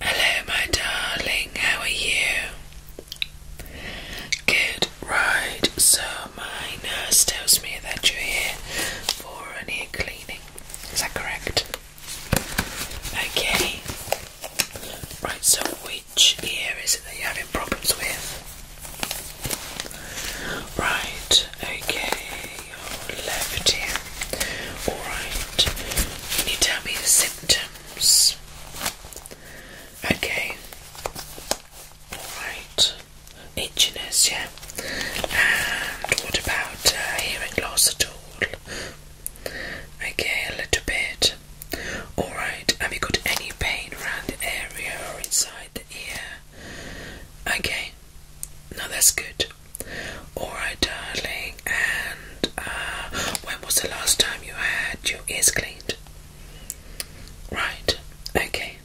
Hello, my darling, how are you? Good, right, so my nurse tells me that you're here for an ear cleaning. Is that correct? Okay. Right, so which ear is it that you're having problems with? Right, okay, left ear. Alright, can you tell me the symptoms? Okay, alright, itchiness, yeah. And what about uh, hearing loss at all? Okay, a little bit. Alright, have you got any pain around the area or inside the ear? Okay, now that's good. Alright, darling, and uh, when was the last time you had your ears cleaned? Right, okay.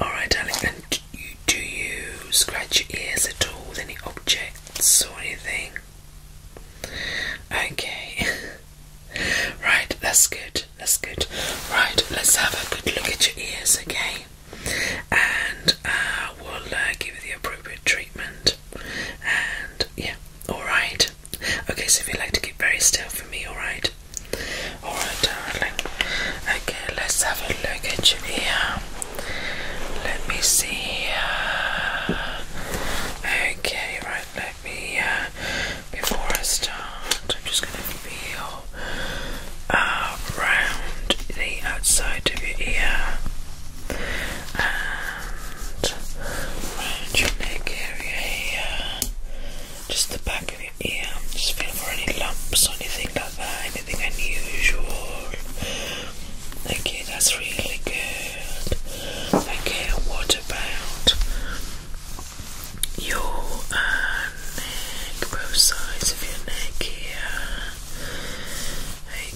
Alright, darling, and you, do you scratch your ears at all with any objects or anything? Okay, right, that's good that's good. Right, let's have a good look at your ears, okay? And uh, we'll uh, give you the appropriate treatment. And yeah, alright. Okay, so if you'd like to keep very still for me, alright? Alright, darling. Okay, let's have a look at your ear. Let me see. Uh, okay, right, let me uh, before I start, I'm just going to feel uh, around the outside of your ear and around your neck area here, just the back of your ear. Just feel for any lumps anything like that, anything unusual. Okay, that's really good. Okay, what about your uh, neck, both sides of your neck here.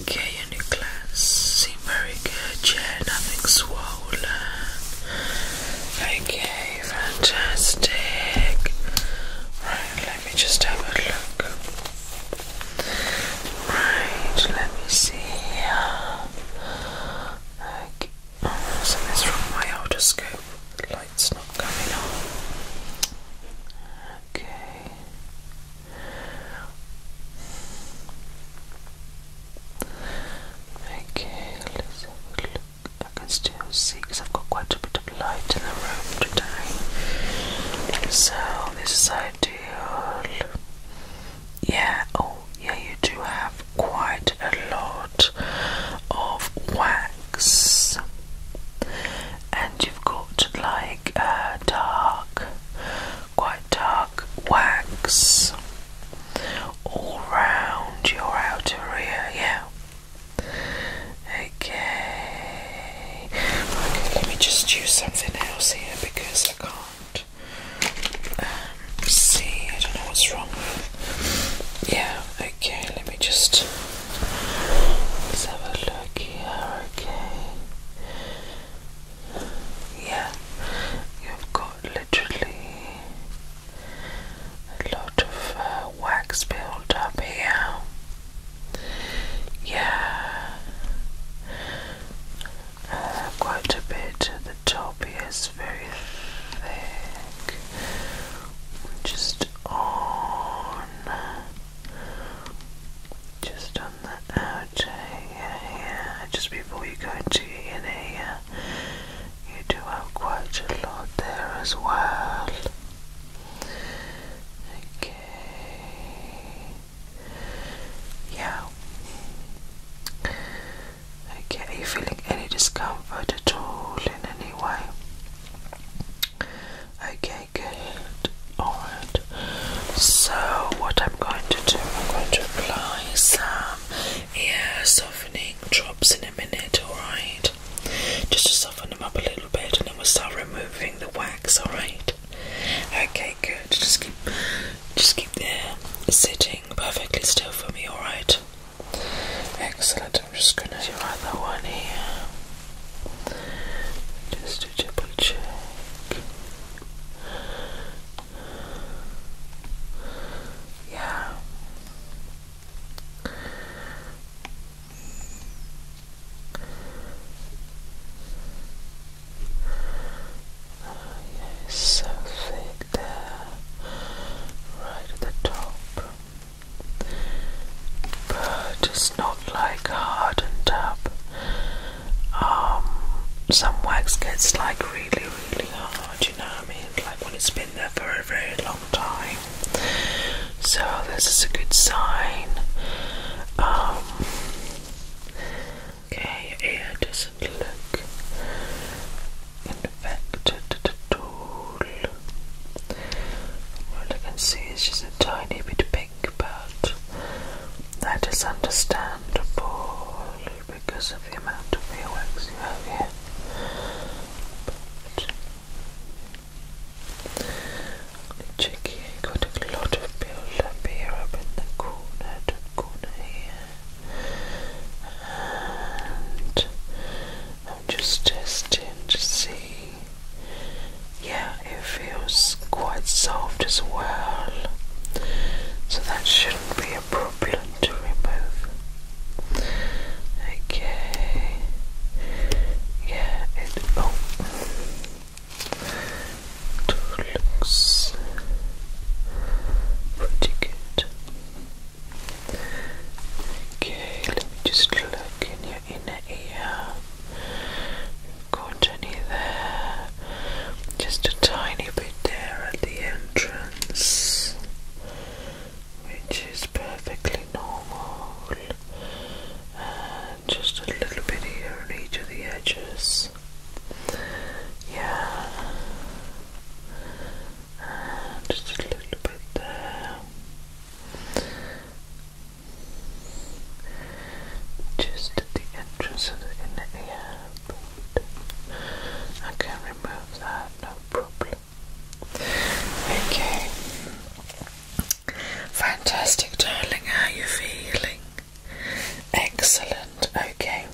Okay, your nucleus seem very good, yeah, nothing swollen. Okay, fantastic. Right, let me just have a look. Right, let me see. Okay. Something's this from my otoscope. light's not coming on. Okay. Okay, let's have a look. I can still see because I've got quite a bit of light in the room today. So, this is ideal. Yeah, oh, yeah, you do have quite a lot of wax, and you've got like a uh, dark, quite dark wax all round your outer ear, yeah. Okay. okay, let me just use something else here because I can't um, see. I don't know what's wrong Yeah, Okay, let me just have a look here. Okay, yeah, you've got literally a lot of uh, wax built up here. Yeah, uh, quite a bit at the top here as just on, just on the outer ear just before you go into inner you do have quite a lot there as well. Okay. Yeah. Okay, are you feeling any discomfort at all in any way? Okay, good. Alright. So, what I'm going to do, I'm going to apply some ear softening drops in a minute, alright? Just to soften them up a little bit and then we'll start removing the wax, alright? Okay, good. Just keep just keep there sitting perfectly still for me, alright? Excellent. I'm just gonna do another one here, just to double check. Yeah. Oh, yes, so thick there, right at the top but it's not like hardened up. Um, some wax gets like really, really hard, you know what I mean? Like when it's been there for a very long time. So, this is a good sign. Um, okay, ear doesn't look infected at all. All I can see is just a tiny bit pink, but that is understandable because of the amount of wax you have here. But check got a lot of build here up in the corner, corner here. I'm just testing to see. Yeah, it feels quite soft as well, so that shouldn't be a problem to remove. Okay, yeah, it. Oh, it looks pretty good. Okay, let me just look in your inner ear. got any there? Just a tiny bit there at the entrance, which is perfectly normal. And just a little bit here on each of the edges. Yeah just a little bit there. Just at the entrance of the inner ear. I can remove that, no problem. Okay. Fantastic, darling. How are you feeling? Excellent. Okay.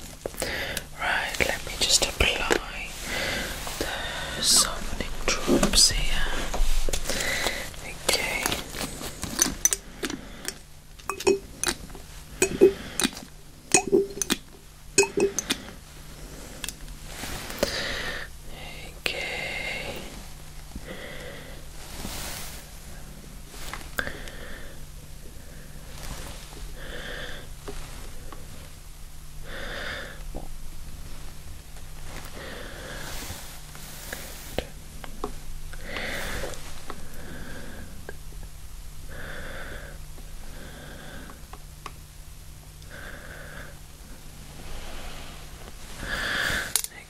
Right, let me just apply the softening drops here. Okay. Okay.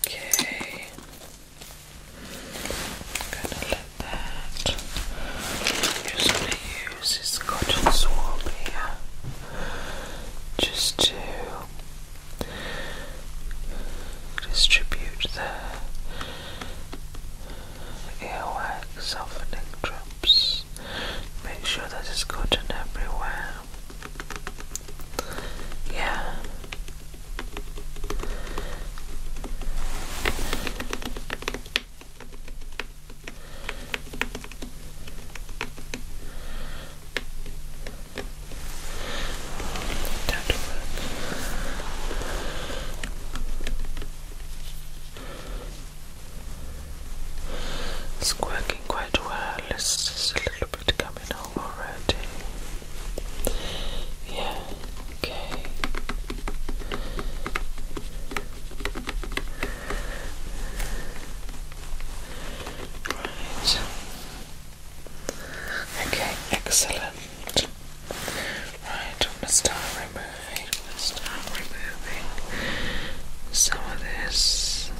Okay. I'm gonna let that just to use this cotton swab here just to distribute the earwax softening drops. Make sure that it's cotton everywhere. Yeah. It's working quite well. It's just a little bit coming over already. Yeah, okay. Right. Okay, excellent. Right, I'm start removing. I'm start removing some of this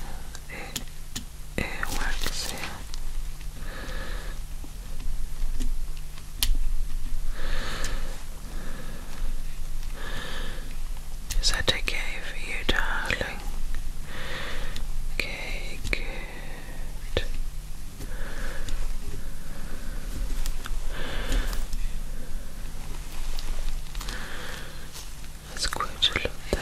earwax here. Is that okay for you, darling. Okay, good. That's quite a lot there.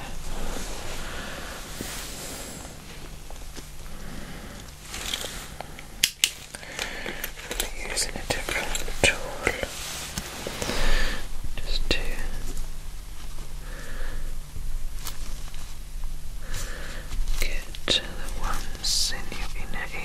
I'm using a different tool just to get to the ones in your inner ear.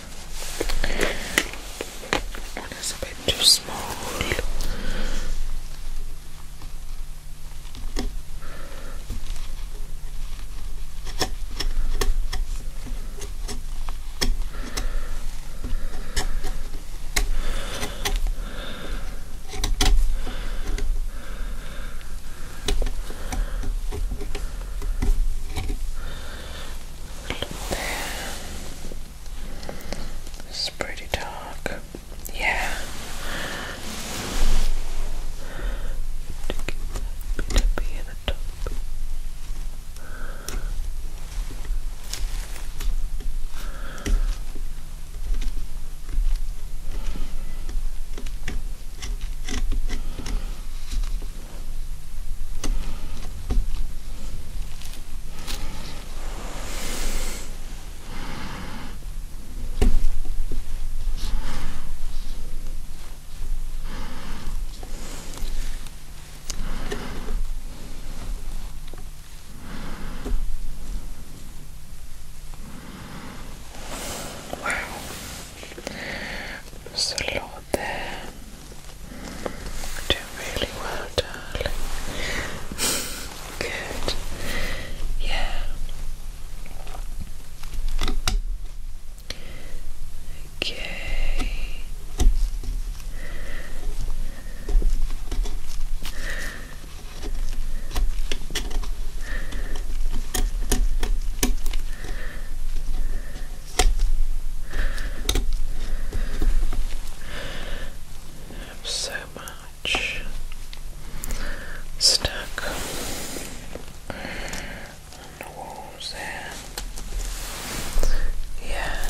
One a bit too small. It's pretty dark. Yeah. To be at the top. Wow. So long out there. Doing really well, darling. Good. Yeah. Okay. I have so much stuck on the walls there. Yeah.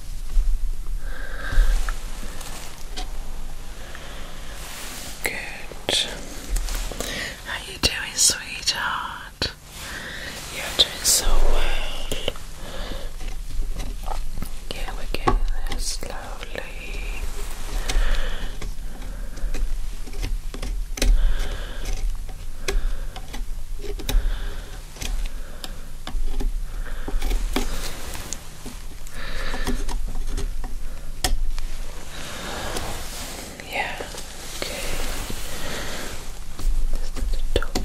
Good. How you doing, sweetheart? You're doing so well. Yeah, we're getting there slowly. Yeah, okay. Just at the top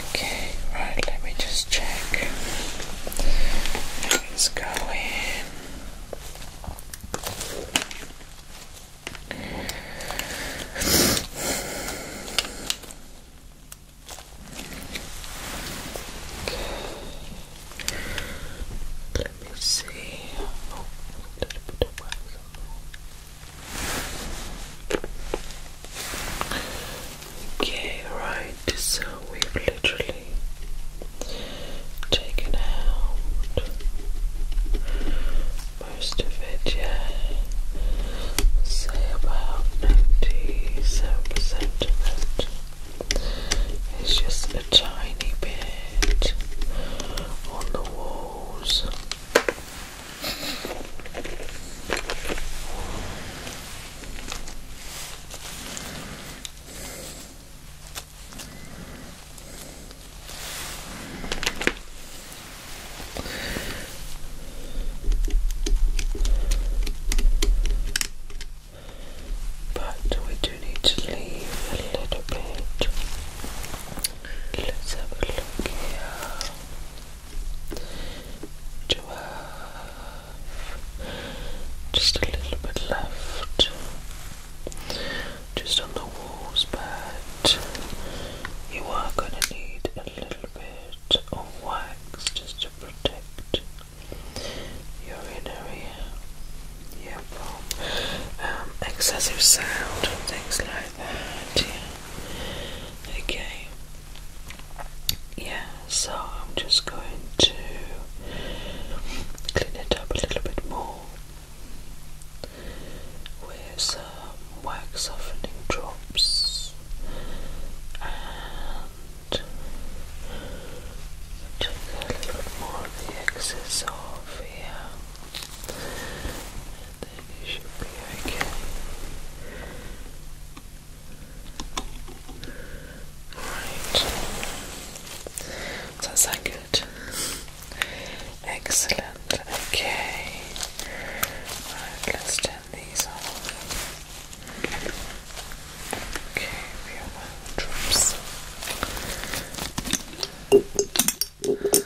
Okay, right, let me just check. Let's go in. Let me see. Oh, a little bit of wax Okay, right, so we've literally taken out most of it, yeah. Say about 97% of it. It's just a tiny bit on the walls. But we do need to leave a little bit. Let's have a look here twelve, just a little bit left, just on the walls, but you are going to need a little bit of wax just to protect your inner ear. Yeah, well, um, excessive sound and things like that. Yeah. Okay yeah, so I'm just going to clean it up a little bit more with some wax softening drops and take a little bit more of the excess off here and then you should be okay. Right. Does that good? Excellent. Okay. Right, let's turn these off. Okay, we have drops.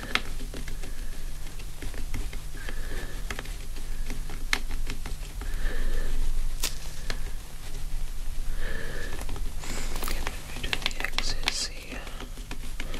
to the axis here. Okay.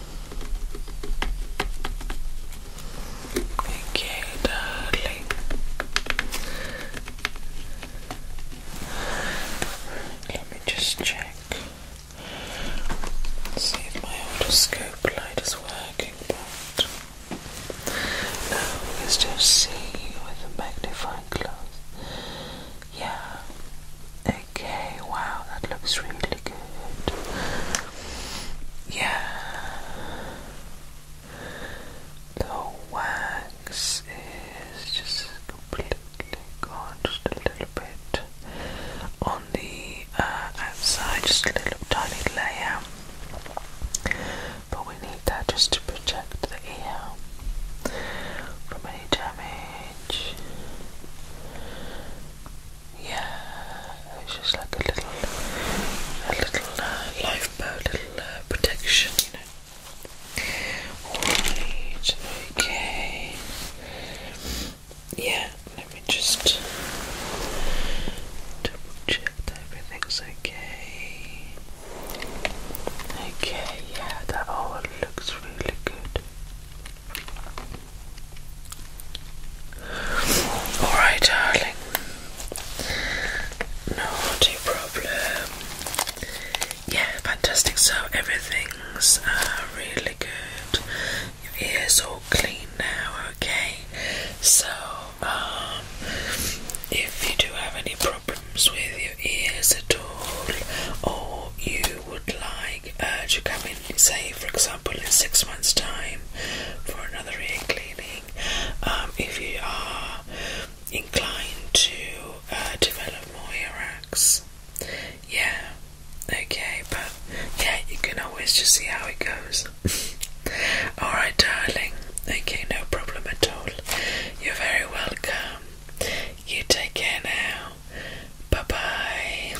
Okay, darling. Let me just check. See if my otoscope light is working, now let's just see with a magnifying glass. Yeah. Okay, wow, that looks really yeah. The wax is just completely gone, just a little bit on the uh, outside, just a little tiny layer. But we need that just to protect the ear from any damage. Yeah, it's just like a little, a little uh, lifeboat, little uh, protection, you know. Alright, okay. Yeah, let me just double check everything's okay. Okay, yeah, that all looks really good. Alright, darling. Not problem. Yeah, fantastic. So everything's uh, really good. Your ears all clean now, okay? So, um, if you do have any problems with your ears at all, or you would like uh, to say for example in six months' time for another ear cleaning, um, if you are inclined to uh, develop more ear Yeah, okay, but yeah, you can always just see how it goes. Alright, darling. Okay, no problem at all. You're very welcome. You take care now. Bye bye.